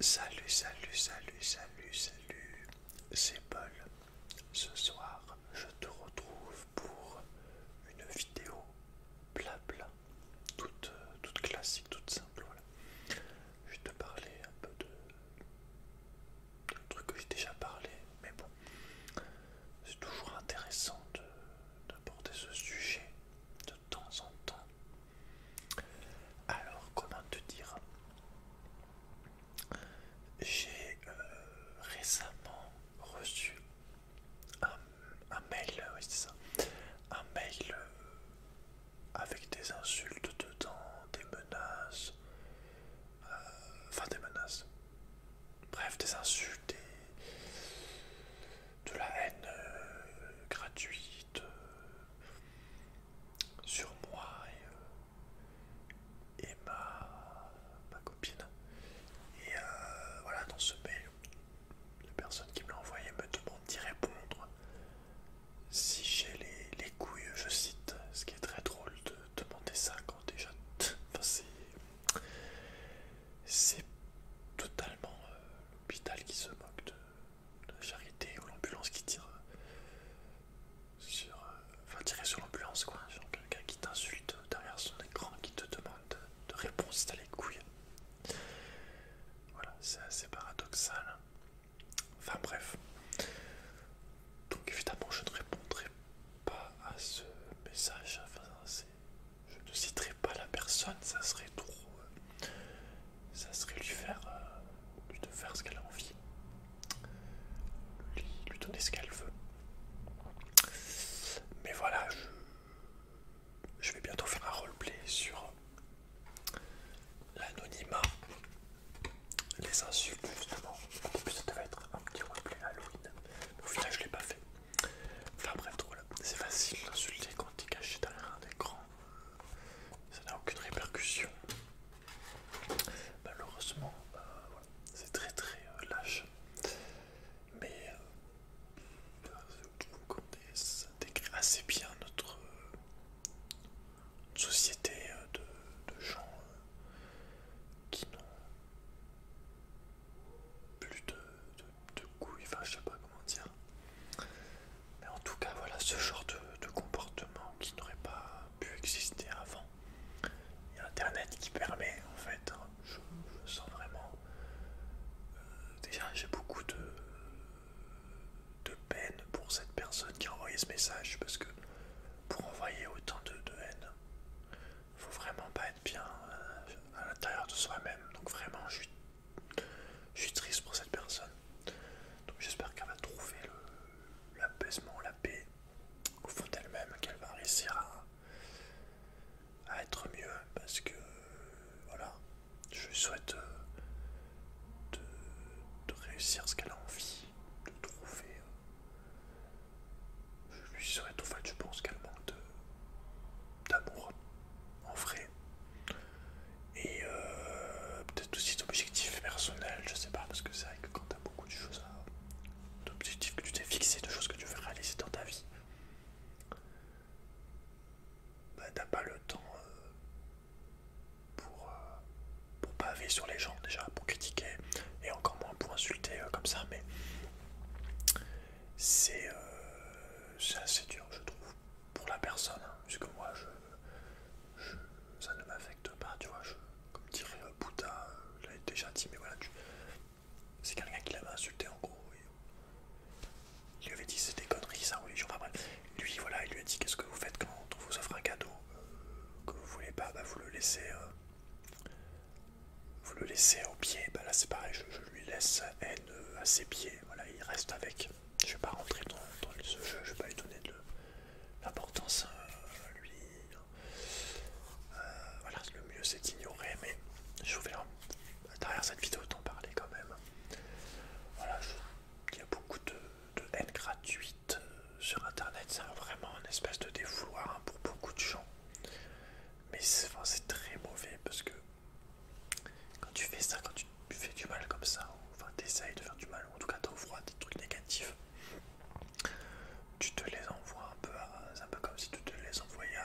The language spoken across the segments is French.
Salut, salut, salut, salut, salut, c'est Paul. Ce soir, je te retrouve pour une vidéo blabla, toute, toute classique, toute simple. Voilà. Je vais te parler un peu de, de trucs que j'ai déjà parlé, mais bon, c'est toujours intéressant d'aborder ce sujet de temps en temps. Alors, comment te dire J'ai euh, récemment reçu un, mail, c'est ça, un mail euh, avec des insultes dedans, des menaces, euh, enfin des menaces, bref des insultes, et de la haine gratuite, sur moi et, euh, ma, copine. Et euh, voilà, dans ce mail, la personne qui me l'a envoyé me demande d'y répondre si j'ai les, couilles, je cite, ce qui est très drôle de demander ça quand déjà. c'est totalement euh, l'hôpital qui se moque de, la charité ou l'ambulance qui tire euh, sur. Euh, enfin, tirer sur l'ambulance quoi, genre quelqu'un qui t'insulte derrière son écran, qui te demande de réponse si t'as les couilles. Voilà, c'est assez paradoxal. Enfin bref. Donc évidemment je ne répondrai pas à ce message. Enfin, je ne citerai pas la personne, ça serait trop euh, ça serait lui faire, euh, lui faire ce qu'elle a envie, lui, donner ce qu'elle veut. Mais voilà, je, vais bientôt faire un roleplay sur l'anonymat, les insultes justement. En plus, ça devait être un petit roleplay Halloween, mais au final, je l'ai pas fait. Enfin bref, drôle, c'est facile d'insulter quand es caché derrière un écran ça n'a aucune répercussion. Malheureusement, bah, c'est très très euh, lâche. Mais euh, ça décrit assez bien notre euh, société de, gens qui n'ont plus de de couilles, enfin je sais pas comment dire. Mais en tout cas voilà ce genre de, comportement qui n'aurait pas pu exister avant. Il y a internet qui permet en fait, hein, je, sens vraiment... Euh, déjà j'ai beaucoup de, de peine pour cette personne qui a envoyé ce message parce que pour envoyer autant de, de haine, faut vraiment pas être bien euh, à l'intérieur de soi-même. Donc vraiment je suis je suis triste pour cette personne. Donc j'espère qu'elle va trouver l'apaisement, la paix au fond d'elle-même, qu'elle va réussir à, être mieux. Parce que voilà, je lui souhaite euh, de, de réussir ce qu'elle a envie de trouver. Je lui souhaite, en fait, je pense qu'elle manque de, d'amour, en vrai. Et euh, peut-être aussi d'objectifs personnels, je sais pas, parce que c'est vrai que quand t'as beaucoup de choses à. d'objectifs que tu t'es fixé, de choses que tu veux réaliser dans ta vie, bah, t'as pas le temps euh, pour, euh, paver sur les gens déjà, pour critiquer, et encore moins pour insulter comme ça, mais euh, c'est assez dur, je trouve, pour la personne, hein, puisque moi, je, ça ne m'affecte pas, tu vois, comme dirait euh, Bouddha, je euh, l'avais déjà dit, mais voilà, c'est quelqu'un qui l'avait insulté en gros, il lui avait dit c'était conneries, ça, religion, enfin bref, lui, voilà, il lui a dit qu'est-ce que vous faites quand on vous offre un cadeau que vous voulez pas, bah vous le laissez vous le laissez au pied, bah là c'est pareil, je, lui laisse haine à ses pieds, voilà, il reste avec. Je vais pas rentrer dans, ce jeu, je vais pas lui donner de l'importance hein, lui. Hein. Euh, voilà, le mieux c'est d'ignorer, mais je vais derrière cette vidéo t'en parler quand même. Voilà, il y a beaucoup de, haine gratuite euh, sur internet, c'est vraiment un espèce de défouloir hein, pour beaucoup de gens. Mais c'est très mauvais parce que quand tu fais ça, quand tu fais du mal comme ça, enfin t'essayes de faire du mal, ou en tout cas t'envoies des trucs négatifs, tu te les envoies un peu, un peu comme si tu te les envoyais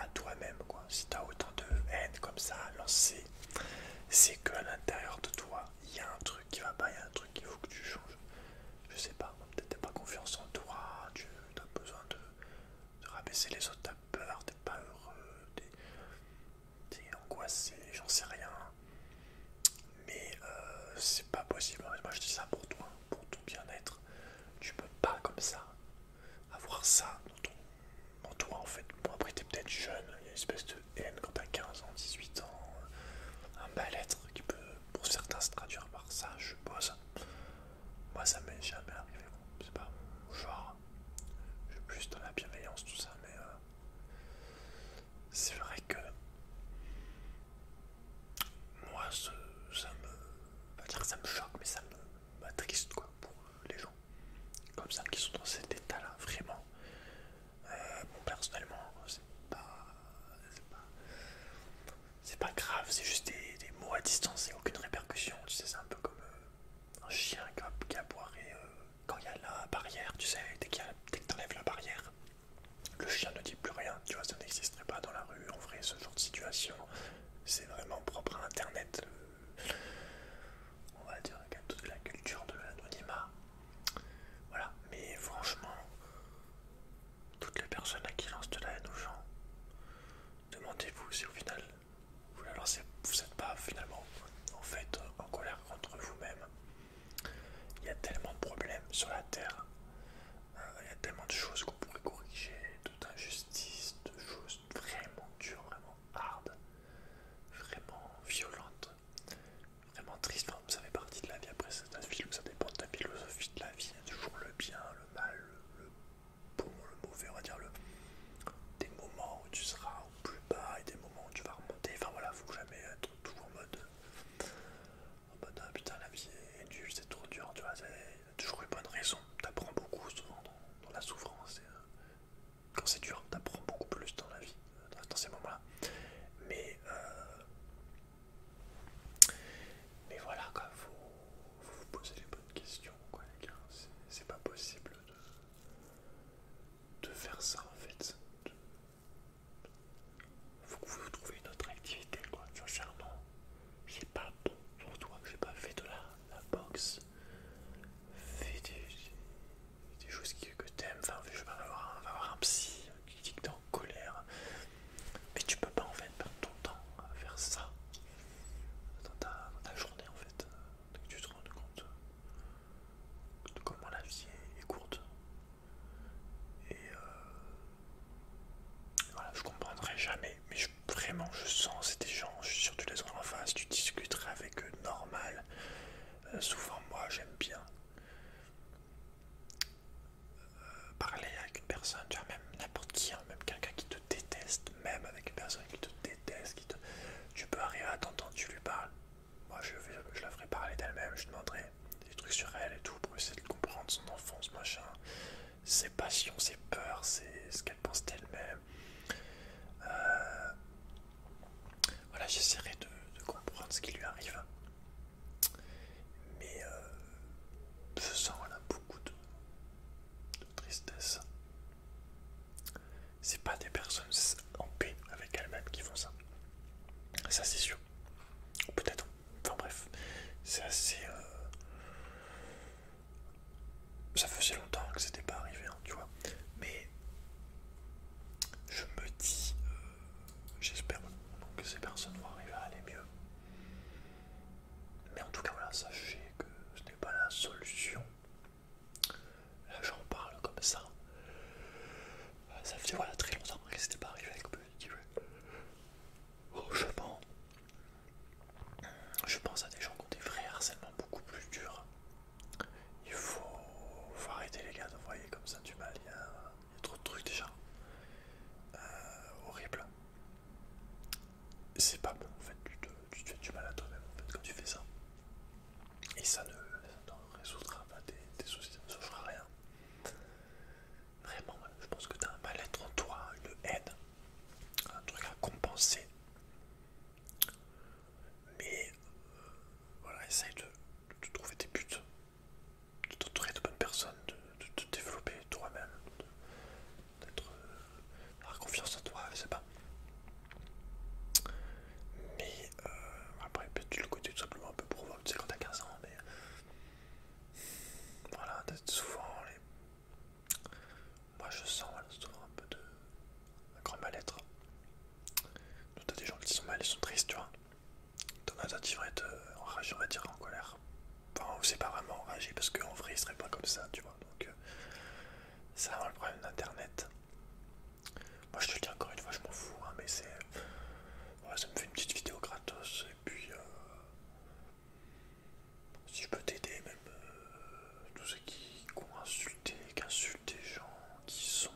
à, toi-même. quoi. Si t'as autant de haine comme ça à lancer, c'est qu'à l'intérieur de toi, il y a un truc qui va pas, il y a un truc qu'il faut que tu changes. Je sais pas, peut-être t'as pas confiance en toi, tu as besoin de de rabaisser les autres, t'as peur, t'es pas heureux, t'es angoissé, j'en sais rien. Mais euh, c'est pas possible, moi je dis ça pour toi, pour ton bien-être. Tu peux pas comme ça avoir ça dans, ton, toi en fait. Bon après t'es peut-être jeune, il y a une espèce de haine quand t'as 15 ans, 18 ans, euh, un mal-être qui peut pour certains se traduire par ça, je suppose. Moi, ça m'est jamais arrivé, c'est pas genre. Je suis plus dans la bienveillance, tout ça, mais euh, c'est vrai que moi, ça, me. ça me choque, mais ça triste quoi pour les gens comme ça qui sont dans cet état-là, vraiment. Euh, bon, personnellement, c'est pas. C'est pas grave, c'est juste des, mots à distance et aucune répercussion. Tu sais, c'est un peu comme euh, un chien qui a, boiré, euh, quand il y a la barrière. Tu sais, dès, qu'il tu dès la barrière, le chien ne dit plus rien. Tu vois, ça n'existerait pas dans la rue. En vrai, ce genre de situation, c'est vraiment propre à Internet. Euh, on va dire avec toute la culture de l'anonymat. Voilà, mais franchement, toutes les personnes à qui lancent de la haine aux gens, Demandez-vous si au final vous n'êtes pas finalement en fait en colère contre vous-même. Il y a tellement de problèmes sur la terre, hein, il y a tellement de choses qu'on pourrait corriger, toute injustice, de choses vraiment dures, vraiment hard, vraiment violentes, vraiment tristes. vous ça fait partie de la vie après, c'est un film, ça dépend de la philosophie de la vie, il y a toujours le bien, mal, le, bon, le mauvais, on va dire le, des moments où tu seras au plus bas et des moments où tu vas remonter. Enfin voilà, faut jamais être toujours en mode, en ah, putain la vie est dure c'est trop dur, tu vois, c'est toujours une bonne raison. T'apprends beaucoup souvent dans, la souffrance. Euh, quand c'est dur, t'apprends beaucoup plus dans la vie, dans ces moments-là. Mais euh, mais voilà, quoi, vous vous posez les bonnes questions, quoi, les gars. C'est pas possible de, faire ça, en fait. faut que vous trouviez une autre activité, quoi. Sincèrement, j'ai pas pour toi. J'ai pas fait de la, boxe. Fais des, choses que, tu t'aimes. Enfin, je vais avoir, un, avoir un psy qui dicte colère. Mais tu peux pas en fait perdre ton temps à faire ça dans ta, journée en fait. tu te rends compte de comment la vie est, courte. Et euh, voilà, je comprendrai jamais, mais vraiment je sens ces gens, je suis sûr tu les auras en face, tu discuterais avec eux normal. Euh, souvent moi j'aime bien parler avec une personne, tu vois, même n'importe qui, hein, même quelqu'un qui te déteste, même avec une personne qui te déteste, qui tu peux arriver à t'entendre, tu lui parles. Moi, je, je la ferai parler d'elle-même, je demanderai des trucs sur elle et tout pour essayer de comprendre son enfance, machin, ses passions, ses peurs, c'est ce qu'elle pense d'elle-même. Euh, voilà, j'essaierai de comprendre ce qui lui arrive. Mais je euh, sens beaucoup de, tristesse. C'est pas des personnes en paix avec elles-mêmes qui font ça. Ça c'est sûr. Peut-être. Enfin bref. C'est assez... Euh, ça faisait longtemps que c'était pas arrivé, hein, tu vois. Mais je me dis... Euh, j'espère que ces personnes vont arriver à aller mieux. Mais en tout cas, voilà, sachez que ce n'est pas la solution. Là, j'en parle comme ça. Ça fait très longtemps que c'était pas arrivé avec Positive. Oh, je pense à des gens qui ont des vrais harcèlements beaucoup plus durs. Il faut, arrêter les gars de comme ça du mal il y a trop de trucs déjà. horribles, euh, horrible. C'est pas bon en fait, tu te, fais du mal à toi-même en fait, quand tu fais ça. Et ça ne, résoudra pas tes, soucis, ça ne changera rien. Vraiment, je pense que tu as un mal-être en toi, une haine, un truc à compenser. Mais euh, voilà, essaye de, de trouver tes buts, de t'entourer de bonnes personnes, de, te développer toi-même, d'être d'avoir euh, confiance en toi, je sais pas. Mais euh, après, peut-être le côté tout simplement un peu pour provoque, tu sais, quand t'as 15 ans, mais voilà, souvent les. Moi je sens souvent un peu de. un grand mal-être. Donc t'as des gens qui sont mal, ils sont tristes, tu vois. Donata devrait être euh, enragé, on va dire en colère. Enfin, c'est pas vraiment enragé parce qu'en vrai il serait pas comme ça, tu vois. Donc, c'est euh, vraiment le problème d'internet. Moi je te le dis encore une fois, je m'en fous, hein, mais c'est. Ouais, ça me fait une petite vidéo gratos et puis. Euh, si je peux t'aider, même tous ceux qui, ont insulté, qui insultent des gens, qui sont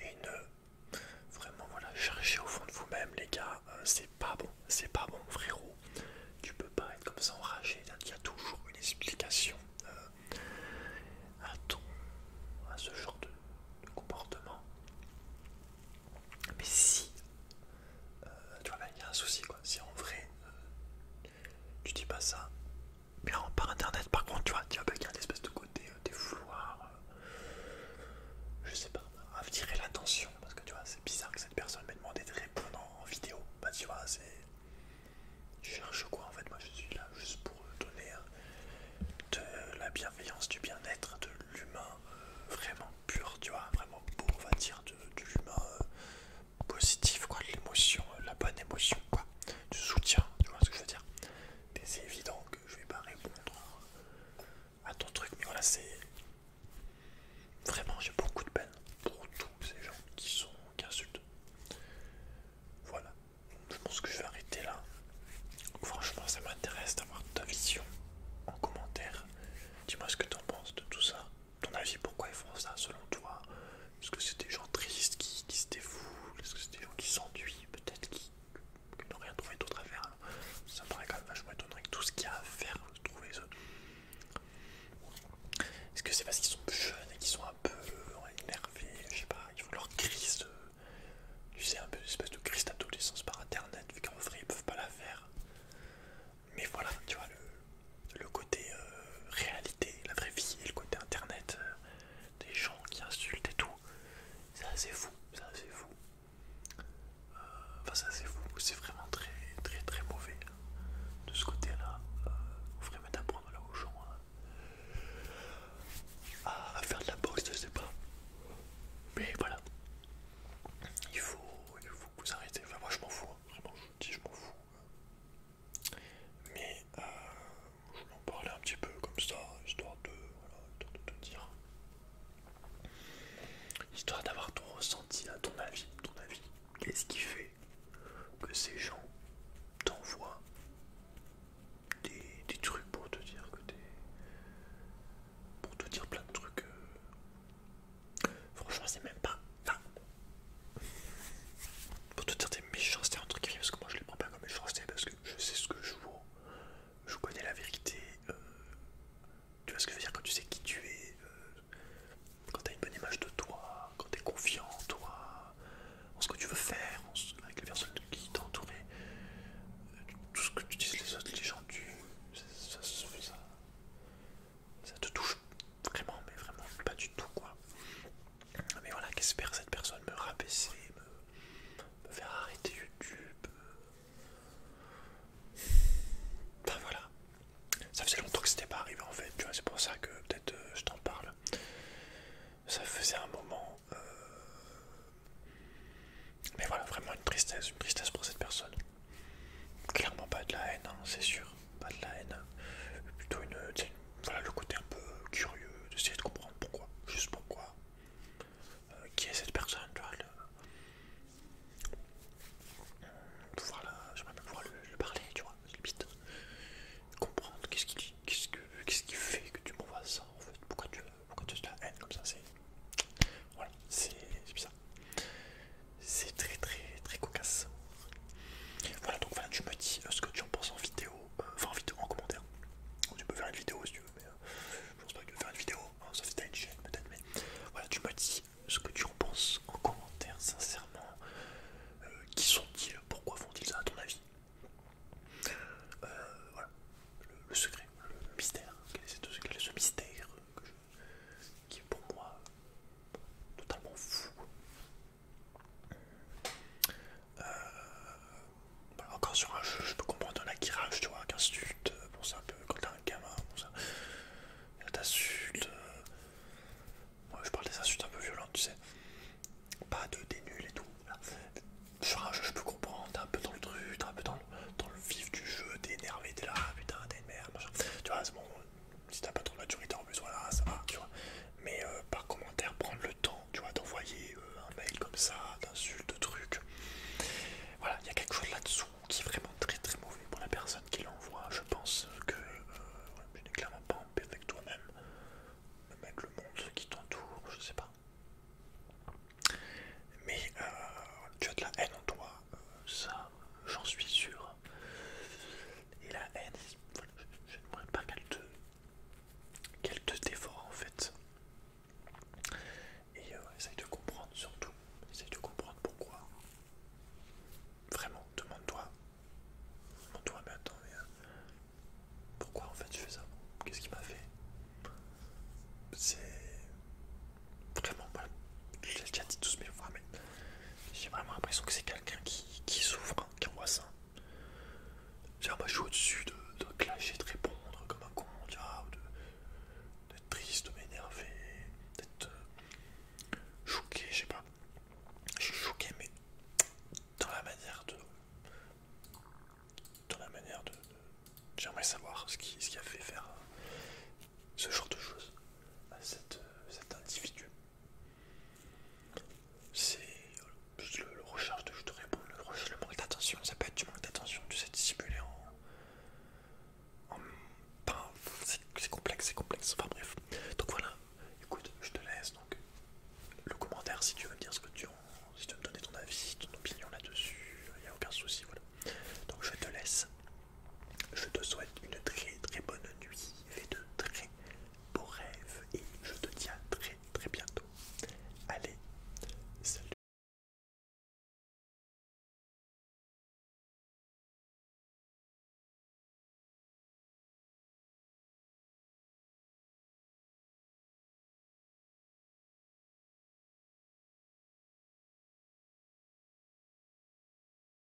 haineux, Vraiment, voilà, cherchez au fond de vous-même, les gars, euh, c'est pas bon, c'est pas bon, frérot. Tu peux pas être comme ça enragé, il y a toujours une explication euh, à ton, à ce genre de, comportement. Mais si, euh, tu vois, il y a un souci, quoi. Si en vrai, tu dis pas ça, bien par internet, par contre, tu vois, tu vois, bah, il y a une espèce de côté des fouloirs, euh, je sais pas, à tirer l'attention parce que tu vois, c'est bizarre que cette personne m'ait demandé de répondre en vidéo. Bah, tu vois, c'est. Je cherche quoi en fait Moi, je suis là juste pour donner euh, de la bienveillance, du bien-être, de l'humain euh, vraiment pur, tu vois, vraiment beau, on va dire, de, l'humain positif, quoi, l'émotion, la bonne émotion, quoi, du soutien, tu vois ce que je veux dire. Des évident que je vais pas répondre à ton truc, mais voilà, c'est. Vraiment, j'ai beaucoup de peine pour tous ces gens qui sont qui insultent. Voilà, je pense que je vais arrêter là. franchement, ça m'intéresse d'avoir ta vision en commentaire. Dis-moi ce que tu en penses de tout ça. Ton avis, pourquoi ils font ça selon toi Est-ce que c'est des gens tristes qui, se dévouent Est-ce que c'est des gens qui s'ennuient Peut-être qui, qu'ils n'ont rien trouvé d'autre à faire. ça me paraît quand même vachement étonnant avec tout ce qu'il y a à faire, trouver Est-ce que c'est parce qu'ils sont jeunes et qu'ils sont un peu euh, énervés Je sais pas, ils font leur crise Tu sais, un peu une espèce de crise d'adolescence par internet, vu qu'en vrai ils peuvent pas la faire. Mais voilà, tu vois, le, côté euh, réalité, la vraie vie et le côté internet, euh, des gens qui insultent et tout. C'est assez fou, c'est assez fou. Euh, enfin, c'est fou, c'est vraiment très, très, très mauvais hein, de ce côté-là. Euh, on ferait mettre d'apprendre là aux gens à faire de la boxe, je sais pas. Mais voilà, il faut, il faut que vous arrêtez. Enfin, moi je m'en fous, hein. vraiment, je vous dis, je m'en fous. Mais euh, je voulais en parler un petit peu comme ça, histoire de, voilà, histoire de te dire. Histoire d'avoir ton ressenti, à ton avis, ton avis. Qu'est-ce qui fait que ces gens t'envoient des, trucs pour te dire que t'es. pour te dire plein de trucs. Euh, franchement, c'est même pas. pour te dire des méchancetés, un truc qui parce que moi je les prends pas comme méchancetés, parce que je sais ce que je vaux, je connais la vérité. Euh, tu vois ce que je veux dire quand tu sais qui tu es, euh, quand tu as une bonne image de toi, quand tu es confiant en toi, en ce que tu veux faire, avec les personnes qui t'entourent, euh, tout ce que tu dis les autres, les gens, tu, ça, ça, ça te touche vraiment, mais vraiment pas du tout quoi. Mais voilà, qu'espère cette personne me rabaisser, me, faire arrêter YouTube. Euh. Enfin voilà. Ça faisait longtemps que c'était pas arrivé en fait, tu vois, c'est pour ça que peut-être euh, je t'en parle. Ça faisait un moment. Euh. Mais voilà, vraiment une tristesse, une tristesse pour cette personne. Clairement pas de la haine, hein, c'est sûr, pas de la haine. Plutôt une voilà le côté un peu curieux d'essayer de comprendre pourquoi, juste pourquoi, euh, qui est cette personne, tu vois, de pouvoir la... j'aimerais bien pouvoir lui parler, tu vois, limite, comprendre qu'est-ce qui, quest qu'est-ce fait que tu m'envoies ça, en fait, pourquoi tu, pourquoi tu as de la haine comme ça, c'est, voilà, c'est bizarre, c'est très très très cocasse. Voilà, donc voilà, tu me dis euh, ce que tu en penses en vidéo, euh, enfin en vidéo, en commentaire. Tu peux faire une vidéo si tu veux, mais euh, je pense pas que tu veux faire une vidéo, hein, sauf si t'as une chaîne peut-être, mais voilà, tu me dis ce que tu en penses en commentaire, sincèrement. qui sont-ils Pourquoi font-ils ça à ton avis Voilà, le, secret, le, mystère, quel est ce mystère qui est pour moi totalement fou euh, bah, encore sur un jeu, je peux comprendre un acquirage, tu vois, qu'un stunt, bon ça un peu quand t'as un gamin, bon ça. Moi euh, euh, je parle des insultes un peu violentes, tu sais. Pas de des et tout. Sur un jeu, je peux comprendre, t'es un peu dans le truc, t'es un peu dans le, dans le vif du jeu, t'es énervé, t'es là, putain, t'es une merde, machin. Tu vois, c'est bon, si t'as pas trop de maturité en plus, voilà, ça va, tu vois. Mais euh, par commentaire, prendre le temps, tu vois, d'envoyer euh, un mail comme ça, d'insultes, de trucs. Voilà, il y a quelque chose là-dessous qui est vraiment très très mauvais pour la personne qui l'envoie. Je pense que Je euh, tu n'es clairement pas en paix avec toi-même, même avec le monde qui t'entoure, je sais pas. Mais tu as de la haine en toi, ça j'en suis sûr. Et la haine, je ne n'aimerais pas qu'elle te, qu'elle te en fait. Et euh, essaye de comprendre surtout, essaye de comprendre pourquoi. Vraiment, demande-toi, demande-toi, mais euh, pourquoi en fait je fais ça Qu'est-ce qui m'a fait C'est vraiment, voilà, je l'ai déjà dit tous mais fois, mais j'ai vraiment l'impression que c'est quelqu'un qui, qui souffre, hein, qui envoie ça. je suis au-dessus de, de clasher, de répondre comme un con, d'être triste, de m'énerver, d'être euh, choqué, je sais pas. Je suis choqué, mais dans la manière de. Dans la manière de. J'aimerais savoir ce qui, ce qui a fait faire euh, ce genre de choses à euh, cet individu. C'est le, le de je te réponds, le manque d'attention, ça peut être du manque d'attention, tu sais dissimuler en. en c'est complexe, c'est complexe, enfin bref. Donc voilà, écoute, je te laisse donc le commentaire si tu veux me dire ce que tu en. si tu veux me donner ton avis, ton opinion là-dessus, il n'y a aucun souci, voilà. Donc je te laisse. Je te souhaite une très très bonne nuit, fais de très beaux rêves et je te dis à très très bientôt. Allez, salut